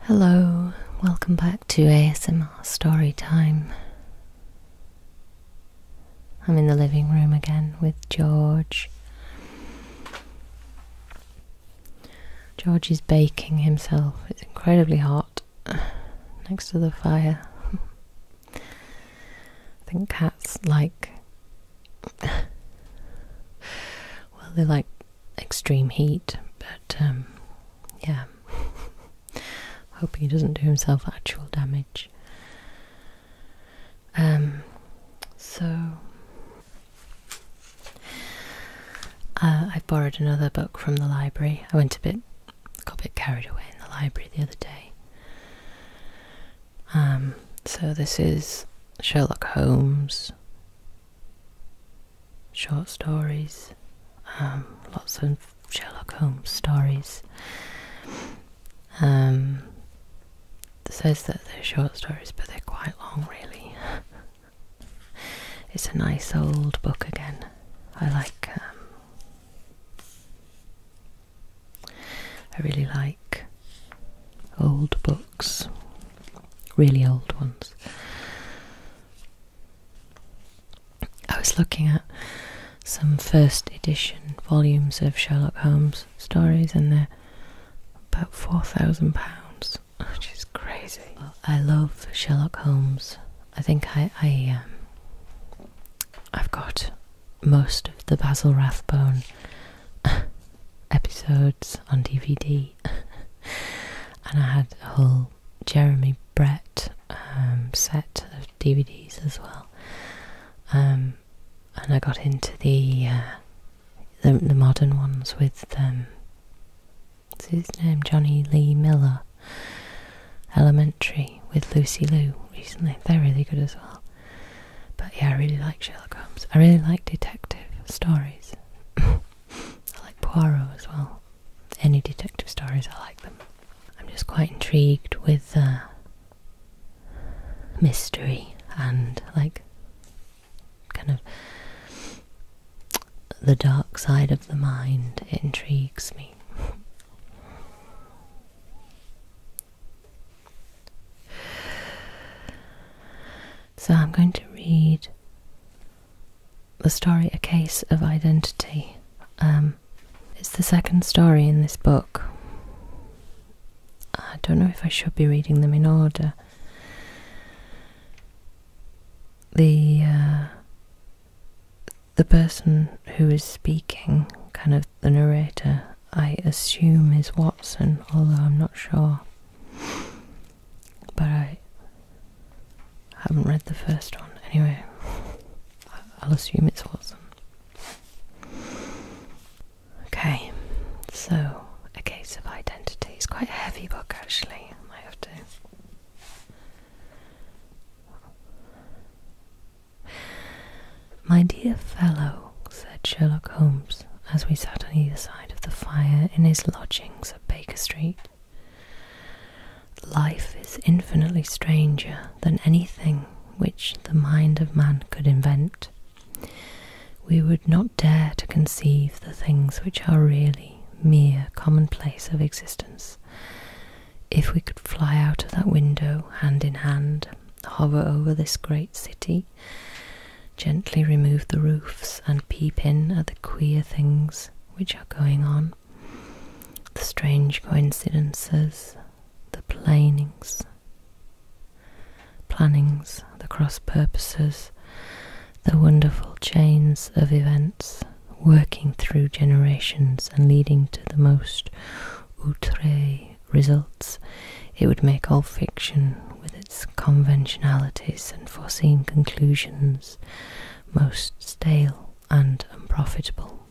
Hello, welcome back to ASMR Story Time. I'm in the living room again with George. George is baking himself, it's incredibly hot next to the fire. I think cats like. well, they like extreme heat, but um, yeah. Hoping he doesn't do himself actual damage. Um, so. Uh, I've borrowed another book from the library. I went a bit, got a bit carried away in the library the other day. Um, so this is Sherlock Holmes short stories, um, lots of Sherlock Holmes stories. Um, says that they're short stories, but they're quite long, really. it's a nice old book again. I like. Um, I really like old books really old ones. I was looking at some first edition volumes of Sherlock Holmes stories, and they're about four thousand pounds, which is crazy. I love Sherlock Holmes. I think I, I um, I've got most of the Basil Rathbone episodes on DVD. and I had a whole Jeremy Brett um, set of DVDs as well. Um, and I got into the, uh, the modern ones with um, his name Johnny Lee Miller Elementary with Lucy Liu recently. They're really good as well. But yeah, I really like Sherlock Holmes. I really like detective stories. I like Poirot as well. Any detective stories, I like them. I'm just quite intrigued with uh, mystery and like kind of the dark side of the mind. It intrigues me. So I'm going to read the story A Case of Identity. Um, it's the second story in this book. I don't know if I should be reading them in order. The uh, the person who is speaking, kind of the narrator, I assume is Watson, although I'm not sure but I haven't read the first one. Anyway, I'll assume it's Watson. Okay, so A Case of Identity. It's quite a heavy book actually. might have to. My dear fellow, said Sherlock Holmes, as we sat on either side of the fire in his lodgings at Baker Street, Life is infinitely stranger than anything which the mind of man could invent. We would not dare to conceive the things which are really mere commonplace of existence. If we could fly out of that window hand in hand, hover over this great city, gently remove the roofs and peep in at the queer things which are going on, the strange coincidences, the planings, plannings, the cross purposes, the wonderful chains of events working through generations and leading to the most outre results. It would make all fiction with its conventionalities and foreseen conclusions most stale and unprofitable.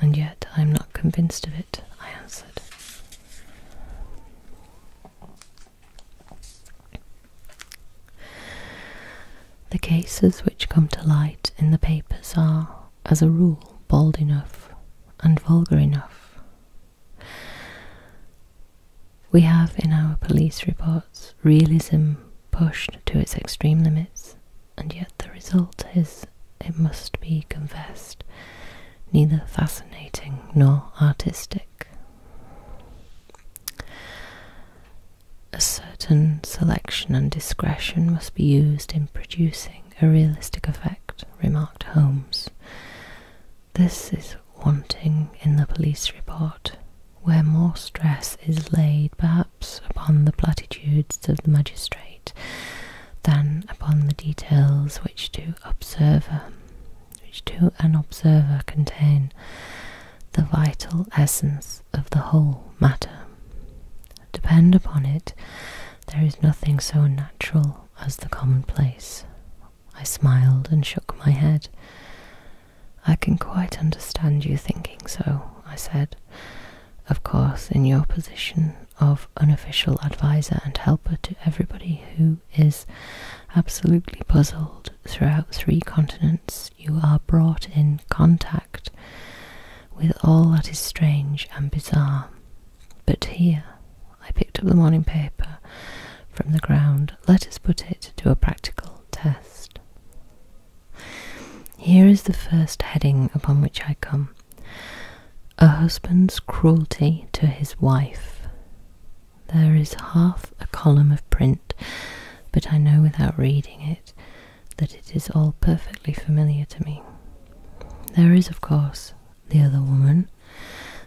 And yet I am not convinced of it, I answered. The cases which come to light in the papers are, as a rule, bald enough and vulgar enough. We have in our police reports realism pushed to its extreme limits, and yet the result is, it must be confessed, neither fascinating nor artistic. A certain selection and discretion must be used in producing a realistic effect, remarked Holmes. This is wanting in the police report, where more stress is laid perhaps upon the platitudes of the magistrate than upon the details which to observer which to an observer contain the vital essence of the whole matter. Depend upon it, there is nothing so natural as the commonplace. I smiled and shook my head. I can quite understand you thinking so, I said. Of course, in your position of unofficial adviser and helper to everybody who is absolutely puzzled throughout three continents, you are brought in contact with all that is strange and bizarre. But here, I picked up the morning paper from the ground. Let us put it to a practical test. Here is the first heading upon which I come A husband's cruelty to his wife. There is half a column of print, but I know without reading it that it is all perfectly familiar to me. There is, of course, the other woman,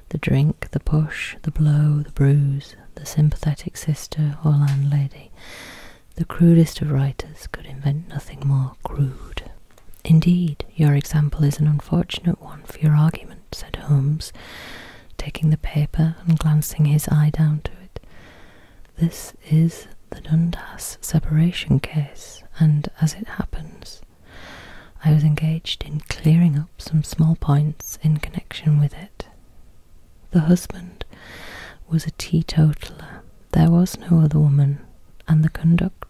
the drink, the push, the blow, the bruise, the sympathetic sister or landlady, the crudest of writers could invent nothing more crude. Indeed, your example is an unfortunate one for your argument, said Holmes, taking the paper and glancing his eye down to it. This is the Dundas separation case, and as it happens, I was engaged in clearing up some small points in connection with it. The husband was a teetotaler. There was no other woman, and the conduct,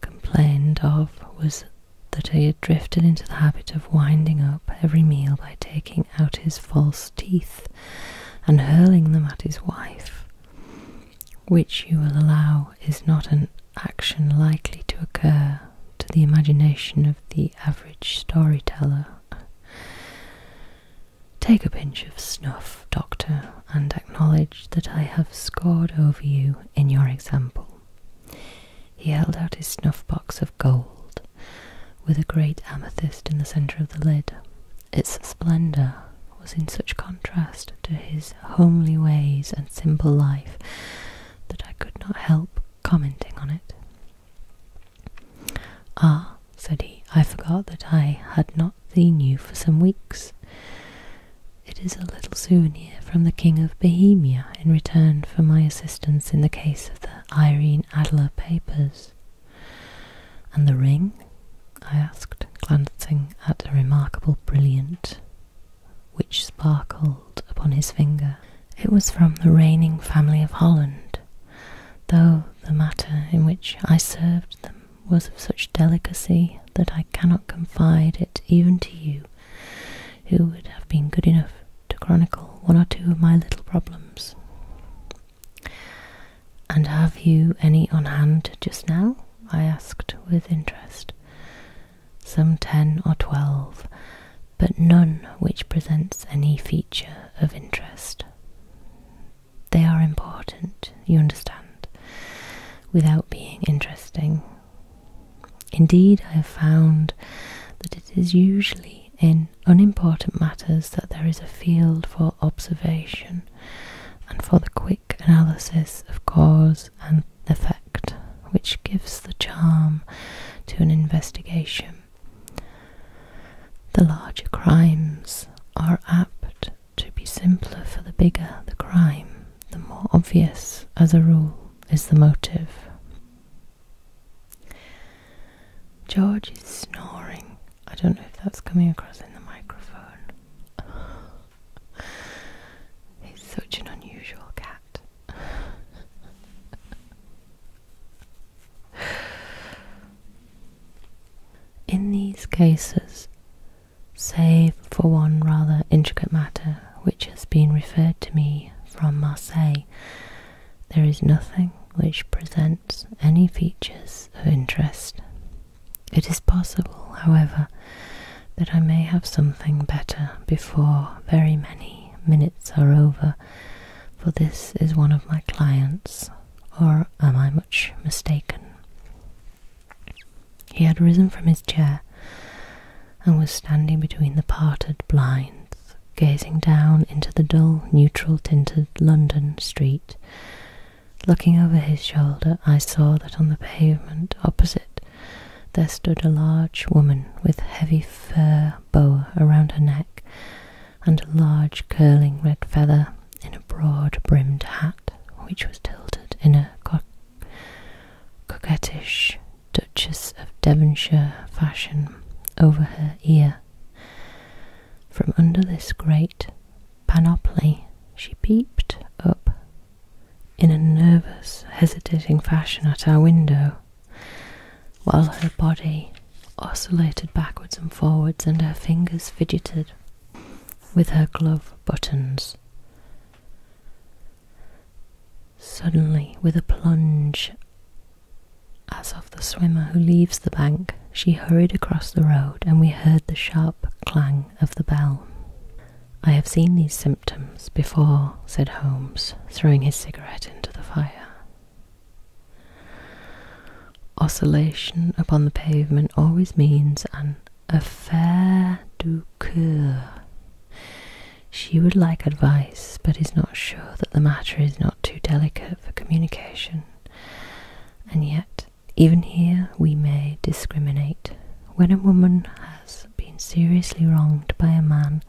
complained of was that he had drifted into the habit of winding up every meal by taking out his false teeth and hurling them at his wife, which you will allow is not an action likely to occur to the imagination of the average storyteller. Take a pinch of snuff, Doctor, and acknowledge that I have scored over you in your example. He held out his snuff box of gold, with a great amethyst in the centre of the lid. Its splendour was in such contrast to his homely ways and simple life that I could not help commenting on it. Ah, said he, I forgot that I had not seen you for some weeks. It is a little souvenir from the King of Bohemia in return for my assistance in the case of the Irene Adler papers. And the ring? I asked, glancing at a remarkable brilliant which sparkled upon his finger. It was from the reigning family of Holland, though the matter in which I served them was of such delicacy that I cannot confide it even to you, who would have been good enough to chronicle one or two of my little problems. And have you any on hand just now? I asked with interest. Some ten or twelve, but none which presents any feature of interest. They are important, you understand, without being interesting. Indeed, I have found that it is usually in unimportant matters that there is a field for observation and for the quick analysis of cause and effect which gives the charm to an investigation. The larger crimes are apt to be simpler for the bigger the crime, the more obvious, as a rule, is the motive. George is snoring. I don't know if that's coming across in the microphone. He's such an unusual cat. In these cases, save for one rather intricate matter which has been referred to me from Marseille, there is nothing which presents any features of interest. It is possible, however, that I may have something better before very many minutes are over for this is one of my clients, or am I much mistaken? He had risen from his chair and was standing between the parted blinds, gazing down into the dull, neutral tinted London street. Looking over his shoulder, I saw that on the pavement opposite there stood a large woman with heavy fur boa around her neck, and a large curling red feather in a broad brimmed hat which was tilted in a coquettish Duchess of Devonshire fashion over her ear. From under this great panoply, she peeped up in a nervous, hesitating fashion at our window while her body oscillated backwards and forwards and her fingers fidgeted with her glove buttons. Suddenly, with a plunge, as of the swimmer who leaves the bank, she hurried across the road, and we heard the sharp clang of the bell. I have seen these symptoms before, said Holmes, throwing his cigarette into the fire. Oscillation upon the pavement always means an affaire du coeur. She would like advice, but is not sure that the matter is not too delicate for communication. And yet, even here we may discriminate. When a woman has been seriously wronged by a man,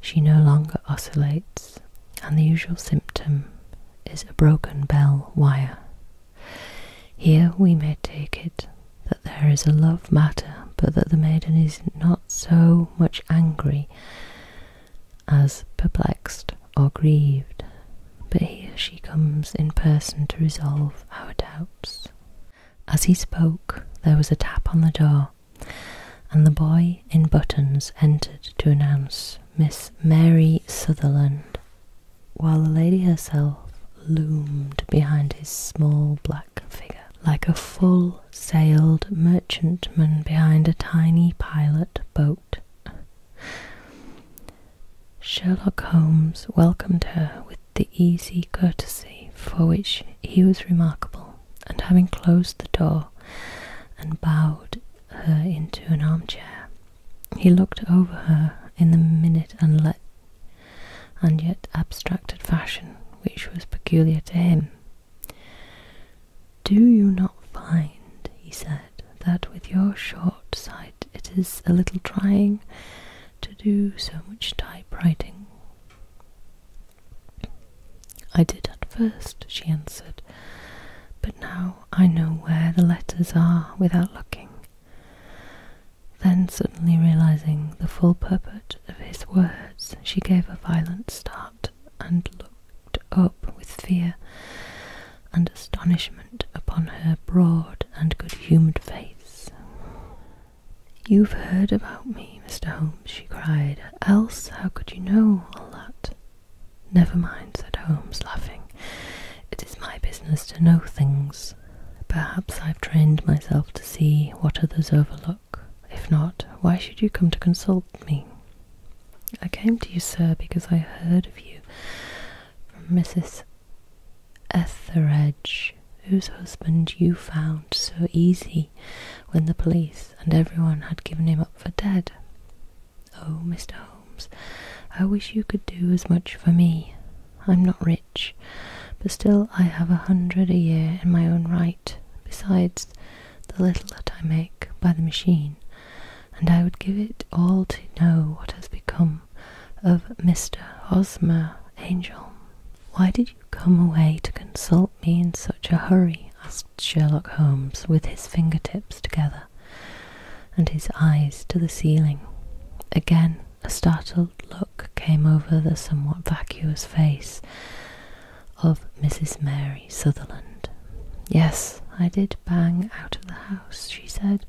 she no longer oscillates, and the usual symptom is a broken bell wire. Here we may take it that there is a love matter, but that the maiden is not so much angry as perplexed or grieved. But here she comes in person to resolve our doubts. As he spoke, there was a tap on the door, and the boy in buttons entered to announce Miss Mary Sutherland, while the lady herself loomed behind his small black figure like a full sailed merchantman behind a tiny pilot boat. Sherlock Holmes welcomed her with the easy courtesy for which he was remarkable and having closed the door and bowed her into an armchair, he looked over her in the minute and yet abstracted fashion which was peculiar to him. Do you not find, he said, that with your short sight it is a little trying to do so much typewriting? I did at first," she answered, but now I know where the letters are without looking. Then, suddenly realizing the full purport of his words, she gave a violent start and looked up with fear and astonishment upon her broad and good humoured face. You've heard about me, Mr. Holmes, she cried. Else, how could you know all that? Never mind, said Holmes, laughing. It is my business to know things. Perhaps I've trained myself to see what others overlook. If not, why should you come to consult me? I came to you, sir, because I heard of you from Mrs. Etheredge, whose husband you found so easy when the police and everyone had given him up for dead. Oh, Mr. Holmes, I wish you could do as much for me. I'm not rich, but still I have a hundred a year in my own right, besides the little that I make by the machine, and I would give it all to know what has become of Mr. Hosmer Angel. Why did you come away to consult me in such a hurry? asked Sherlock Holmes with his fingertips together and his eyes to the ceiling. Again, a startled look came over the somewhat vacuous face of Mrs. Mary Sutherland. Yes, I did bang out of the house, she said,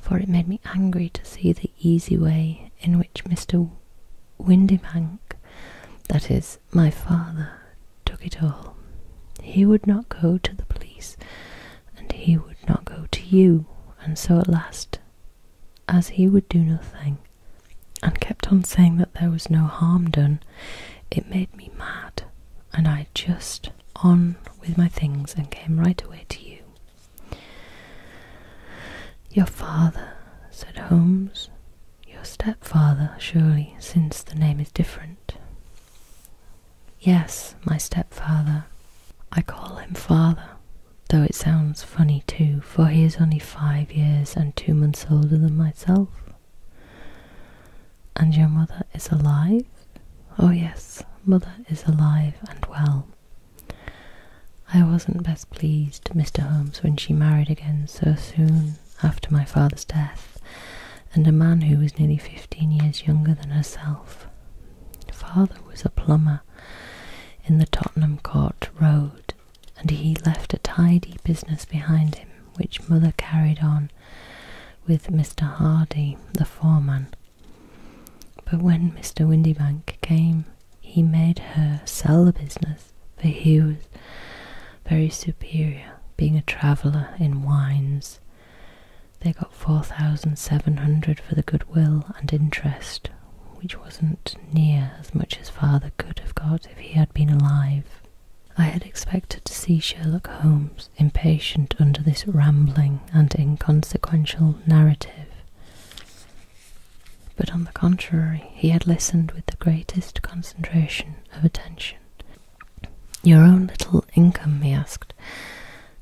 for it made me angry to see the easy way in which Mr. Windybank, that is, my father took it all. He would not go to the police, and he would not go to you, and so at last, as he would do nothing, and kept on saying that there was no harm done, it made me mad, and I just on with my things and came right away to you. Your father, said Holmes, your stepfather, surely, since the name is different. Yes, my stepfather. I call him father, though it sounds funny too, for he is only five years and two months older than myself. And your mother is alive? Oh, yes, mother is alive and well. I wasn't best pleased, Mr. Holmes, when she married again so soon after my father's death, and a man who was nearly fifteen years younger than herself. Father was a plumber in the Tottenham Court Road, and he left a tidy business behind him, which mother carried on with Mr. Hardy, the foreman. But when Mr. Windybank came, he made her sell the business for he was very superior, being a traveller in wines. They got four thousand seven hundred for the goodwill and interest, which wasn't near as much as father could have got if he had been alive. I had expected to see Sherlock Holmes impatient under this rambling and inconsequential narrative but on the contrary, he had listened with the greatest concentration of attention. Your own little income, he asked.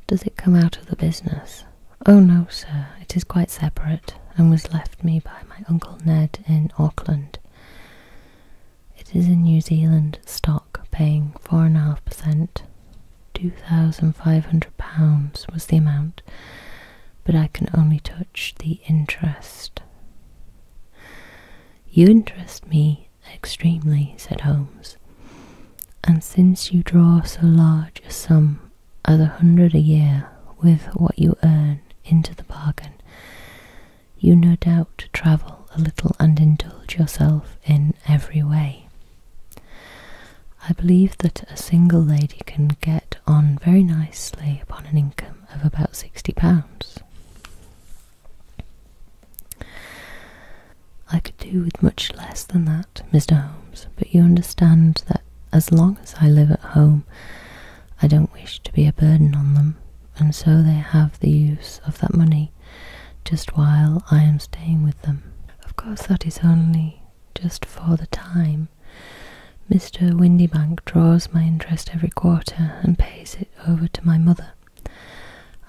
Does it come out of the business? Oh, no, sir, it is quite separate, and was left me by my Uncle Ned in Auckland. It is in New Zealand stock, paying four and a half percent. Two thousand five hundred pounds was the amount, but I can only touch the interest. You interest me extremely, said Holmes, and since you draw so large a sum as a hundred a year with what you earn into the bargain, you no doubt travel a little and indulge yourself in every way. I believe that a single lady can get on very nicely upon an income of about £60. I could do with much less than that, Mr. Holmes, but you understand that as long as I live at home, I don't wish to be a burden on them, and so they have the use of that money just while I am staying with them. Of course, that is only just for the time, Mr. Windybank draws my interest every quarter and pays it over to my mother,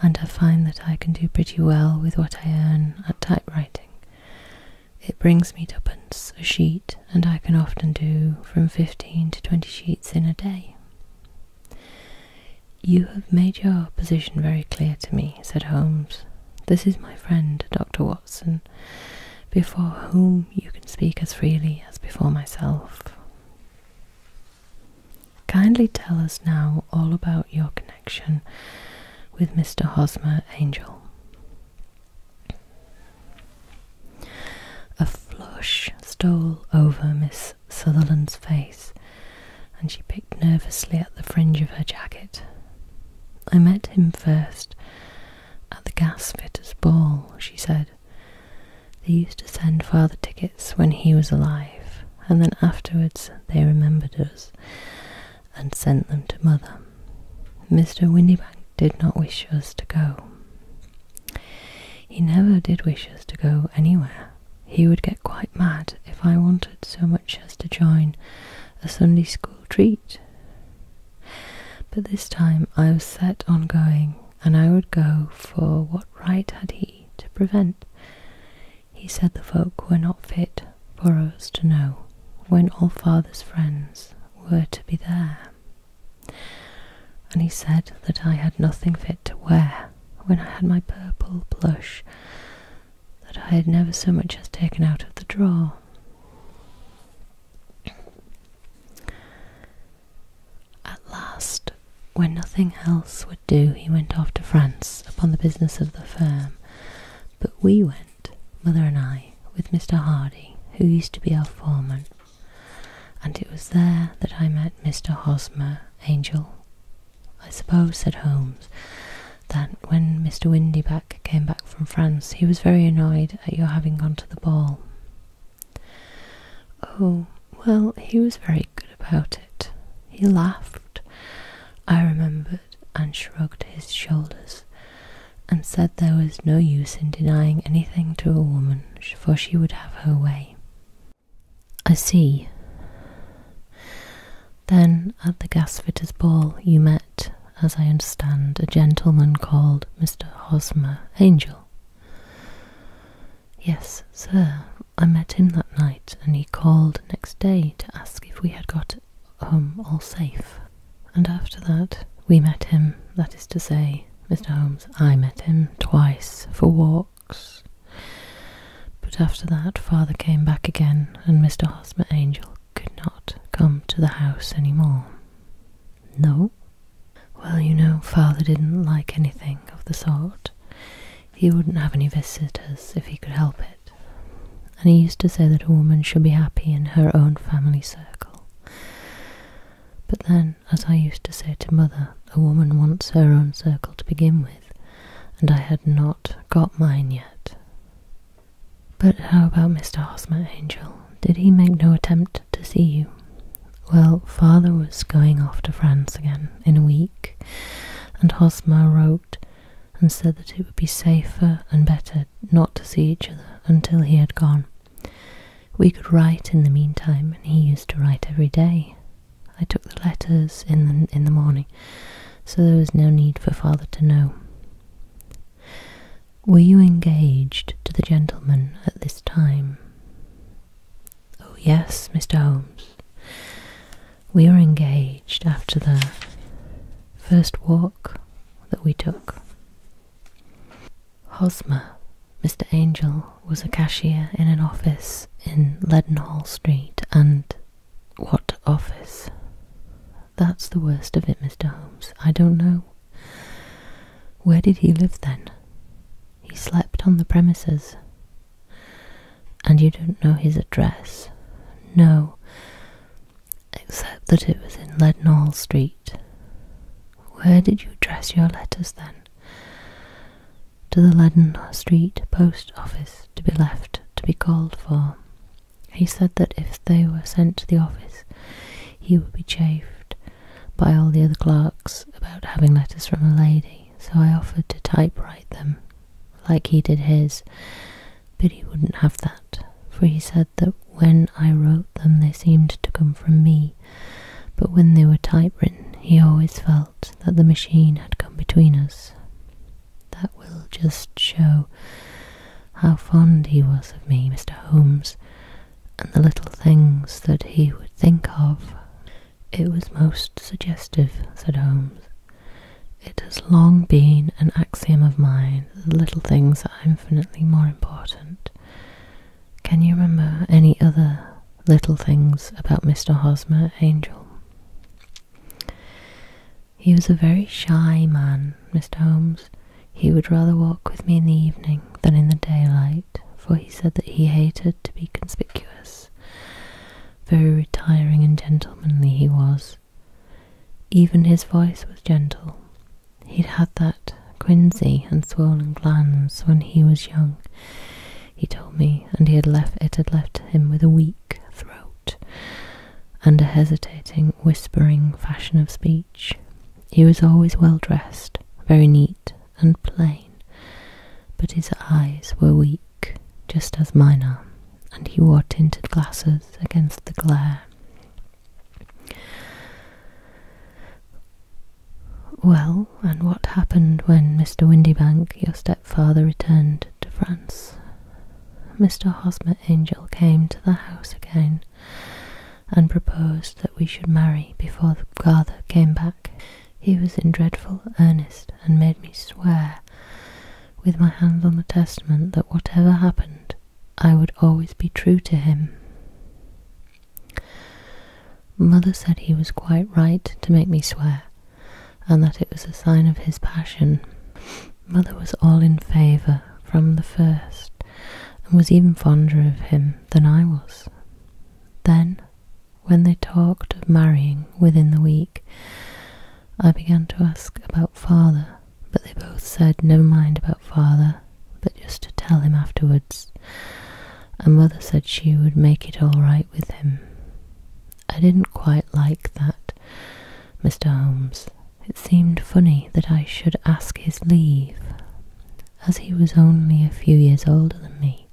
and I find that I can do pretty well with what I earn at typewriting. It brings me twopence a sheet, and I can often do from 15 to 20 sheets in a day. You have made your position very clear to me, said Holmes. This is my friend, Dr. Watson, before whom you can speak as freely as before myself. Kindly tell us now all about your connection with Mr. Hosmer Angel. A flush stole over Miss Sutherland's face, and she picked nervously at the fringe of her jacket. I met him first at the gas fitters' ball, she said. They used to send father tickets when he was alive, and then afterwards they remembered us and sent them to mother. Mr. Windybank did not wish us to go. He never did wish us to go anywhere. He would get quite mad if I wanted so much as to join a Sunday school treat. But this time I was set on going, and I would go, for what right had he to prevent? He said the folk were not fit for us to know when all father's friends were to be there. And he said that I had nothing fit to wear when I had my purple plush that I had never so much as taken out of the drawer. At last, when nothing else would do, he went off to France upon the business of the firm. But we went, mother and I, with Mr. Hardy, who used to be our foreman, and it was there that I met Mr. Hosmer Angel. I suppose, said Holmes, that when Mr. Windyback came back from France, he was very annoyed at your having gone to the ball. Oh, well, he was very good about it. He laughed, I remembered, and shrugged his shoulders, and said there was no use in denying anything to a woman, for she would have her way. I see. Then, at the gasfitters' ball, you met, as I understand, a gentleman called Mr. Hosmer Angel. Yes, sir, I met him that night, and he called next day to ask if we had got home all safe. And after that, we met him, that is to say, Mr. Holmes, I met him twice for walks. But after that, father came back again, and Mr. Hosmer Angel could not come to the house any more. No, well, you know, father didn't like anything of the sort. He wouldn't have any visitors if he could help it. And he used to say that a woman should be happy in her own family circle. But then, as I used to say to mother, a woman wants her own circle to begin with, and I had not got mine yet. But how about Mr. Hosmer Angel? Did he make no attempt to see you. Well, father was going off to France again in a week, and Hosmer wrote and said that it would be safer and better not to see each other until he had gone. We could write in the meantime, and he used to write every day. I took the letters in the, in the morning, so there was no need for father to know. Were you engaged to the gentleman at this time? Oh, yes, Mr. Holmes. We were engaged after the first walk that we took. Hosmer, Mr. Angel, was a cashier in an office in Leadenhall Street, and what office? That's the worst of it, Mr. Holmes. I don't know where did he live then? He slept on the premises. And you don't know his address? No, except that it was in Leadenhall Street. Where did you address your letters then? To the Leadenhall Street post office to be left to be called for. He said that if they were sent to the office, he would be chafed, by all the other clerks about having letters from a lady, so I offered to typewrite them, like he did his, but he wouldn't have that, for he said that when I wrote them they seemed to come from me, but when they were typewritten he always felt that the machine had come between us. That will just show how fond he was of me, Mr. Holmes, and the little things that he would think of. It was most suggestive, said Holmes. It has long been an axiom of mine that little things are infinitely more important. Can you remember any other little things about Mr. Hosmer, Angel? He was a very shy man, Mr. Holmes. He would rather walk with me in the evening than in the daylight for he said that he hated to be conspicuous. Very retiring and gentlemanly he was. Even his voice was gentle. He'd had that quinsy and swollen glands when he was young, he told me, and he had left it had left him with a weak throat and a hesitating, whispering fashion of speech. He was always well dressed, very neat and plain, but his eyes were weak, just as mine are, and he wore tinted glasses against the glare. Well, and what happened when Mr. Windybank, your stepfather, returned to France? Mr. Hosmer Angel came to the house again, and proposed that we should marry before the garter came back. He was in dreadful earnest and made me swear with my hands on the testament that whatever happened, I would always be true to him. Mother said he was quite right to make me swear, and that it was a sign of his passion. Mother was all in favour from the first, and was even fonder of him than I was. Then, when they talked of marrying within the week, I began to ask about father, but they both said never mind about father, but just to tell him afterwards. And mother said she would make it all right with him. I didn't quite like that, Mr. Holmes. It seemed funny that I should ask his leave as he was only a few years older than me.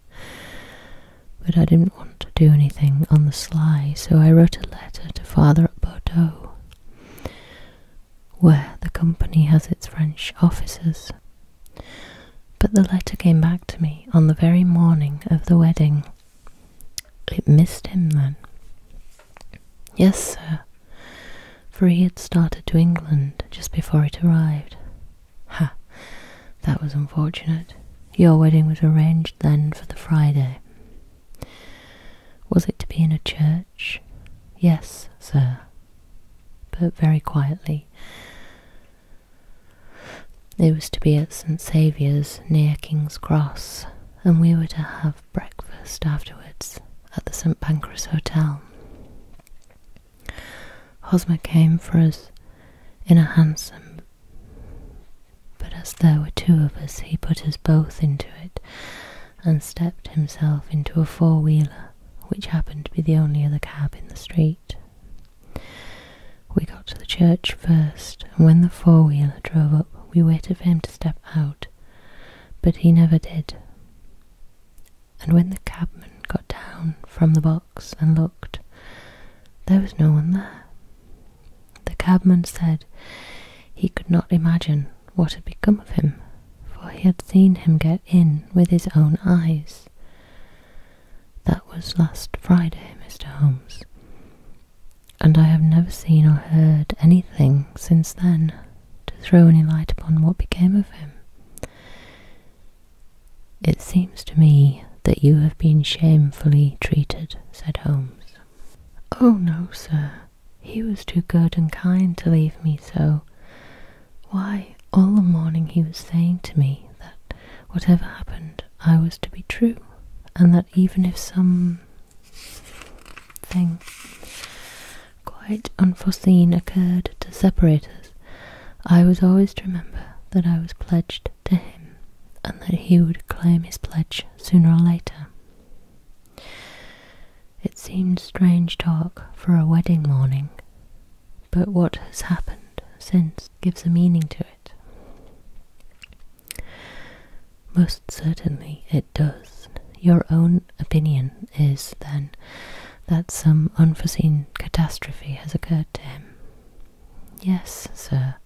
But I didn't want to do anything on the sly, so I wrote a letter to father at Bordeaux, where the company has its French offices. But the letter came back to me on the very morning of the wedding. It missed him then. Yes, sir, for he had started to England just before it arrived. Ha! That was unfortunate. Your wedding was arranged then for the Friday. Was it to be in a church? Yes, sir, but very quietly. It was to be at St Saviour's near King's Cross, and we were to have breakfast afterwards at the St Pancras Hotel. Hosmer came for us in a hansom, but as there were two of us, he put us both into it and stepped himself into a four wheeler, which happened to be the only other cab in the street. We got to the church first, and when the four wheeler drove up, we waited for him to step out, but he never did and when the cabman got down from the box and looked, there was no one there. The cabman said he could not imagine what had become of him, for he had seen him get in with his own eyes. That was last Friday, Mr. Holmes, and I have never seen or heard anything since then to throw any light upon what became of him. It seems to me that you have been shamefully treated, said Holmes. Oh, no, sir. He was too good and kind to leave me so. Why, all the morning he was saying to me that whatever happened, I was to be true, and that even if some thing quite unforeseen occurred to separate us." I was always to remember that I was pledged to him and that he would claim his pledge sooner or later. It seemed strange talk for a wedding morning, but what has happened since gives a meaning to it. Most certainly it does. Your own opinion is, then, that some unforeseen catastrophe has occurred to him. Yes, sir.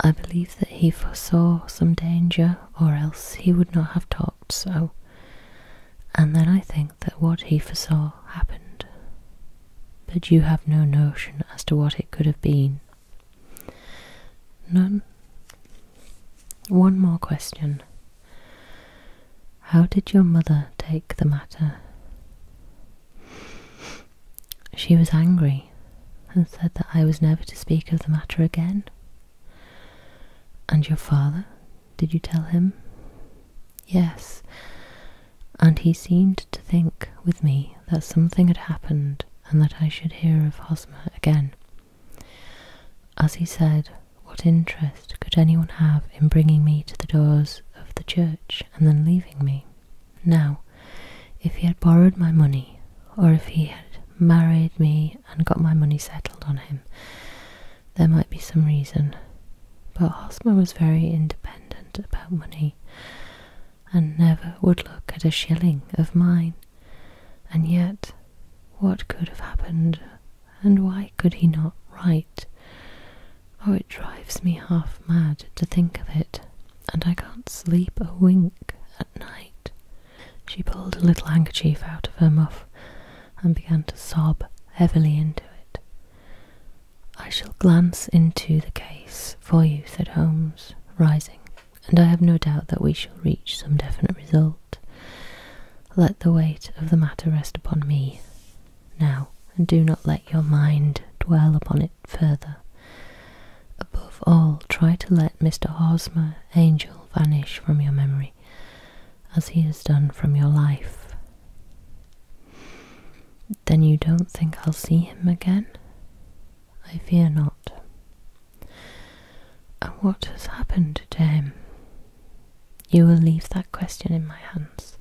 I believe that he foresaw some danger, or else he would not have talked so. And then I think that what he foresaw happened. But you have no notion as to what it could have been. None. One more question. How did your mother take the matter? She was angry and said that I was never to speak of the matter again. And your father, did you tell him? Yes, and he seemed to think with me that something had happened and that I should hear of Hosmer again. As he said, what interest could anyone have in bringing me to the doors of the church and then leaving me? Now, if he had borrowed my money, or if he had married me and got my money settled on him, there might be some reason. But Hosmer was very independent about money, and never would look at a shilling of mine. And yet, what could have happened and why could he not write? Oh, it drives me half mad to think of it, and I can't sleep a wink at night. She pulled a little handkerchief out of her muff and began to sob heavily into it. I shall glance into the case for you, said Holmes, rising, and I have no doubt that we shall reach some definite result. Let the weight of the matter rest upon me now, and do not let your mind dwell upon it further. Above all, try to let Mr. Hosmer, Angel, vanish from your memory, as he has done from your life. Then you don't think I'll see him again? I fear not. And what has happened to him? You will leave that question in my hands.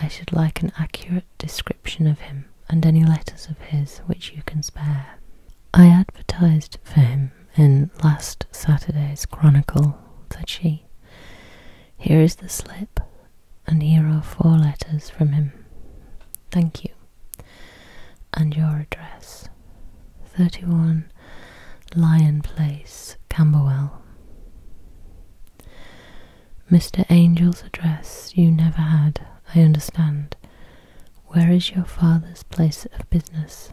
I should like an accurate description of him and any letters of his which you can spare. I advertised for him in last Saturday's Chronicle, said she. Here is the slip, and here are four letters from him. Thank you. And your address. 31 Lion Place, Camberwell. Mr. Angel's address you never had, I understand. Where is your father's place of business?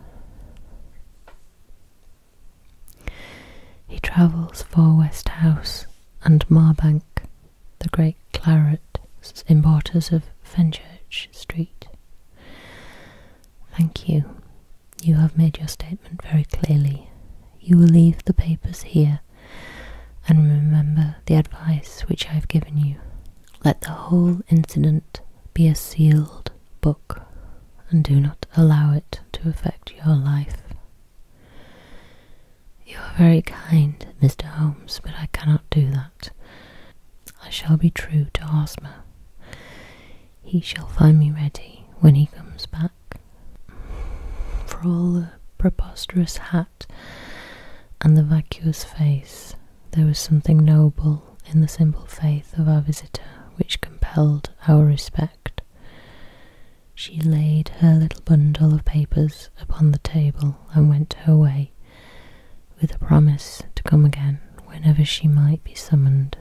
He travels for West House and Marbank, the great claret importers of Fenchurch Street. Thank you. You have made your statement very clearly. You will leave the papers here and remember the advice which I have given you. Let the whole incident be a sealed book and do not allow it to affect your life. You are very kind, Mr. Holmes, but I cannot do that. I shall be true to Hosmer. He shall find me ready when he comes back for all the preposterous hat and the vacuous face, there was something noble in the simple faith of our visitor which compelled our respect. She laid her little bundle of papers upon the table and went her way, with a promise to come again whenever she might be summoned.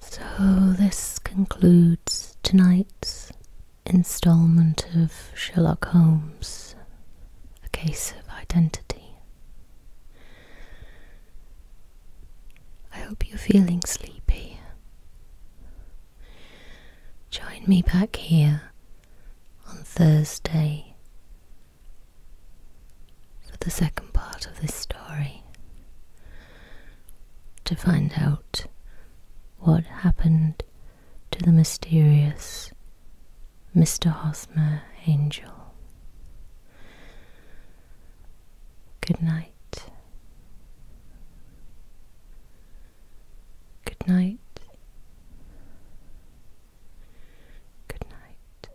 So, this concludes tonight's installment of Sherlock Holmes A Case of Identity. I hope you're feeling sleepy. Join me back here on Thursday for the second part of this story to find out what happened to the mysterious Mr. Hosmer Angel. Good night. Good night. Good night.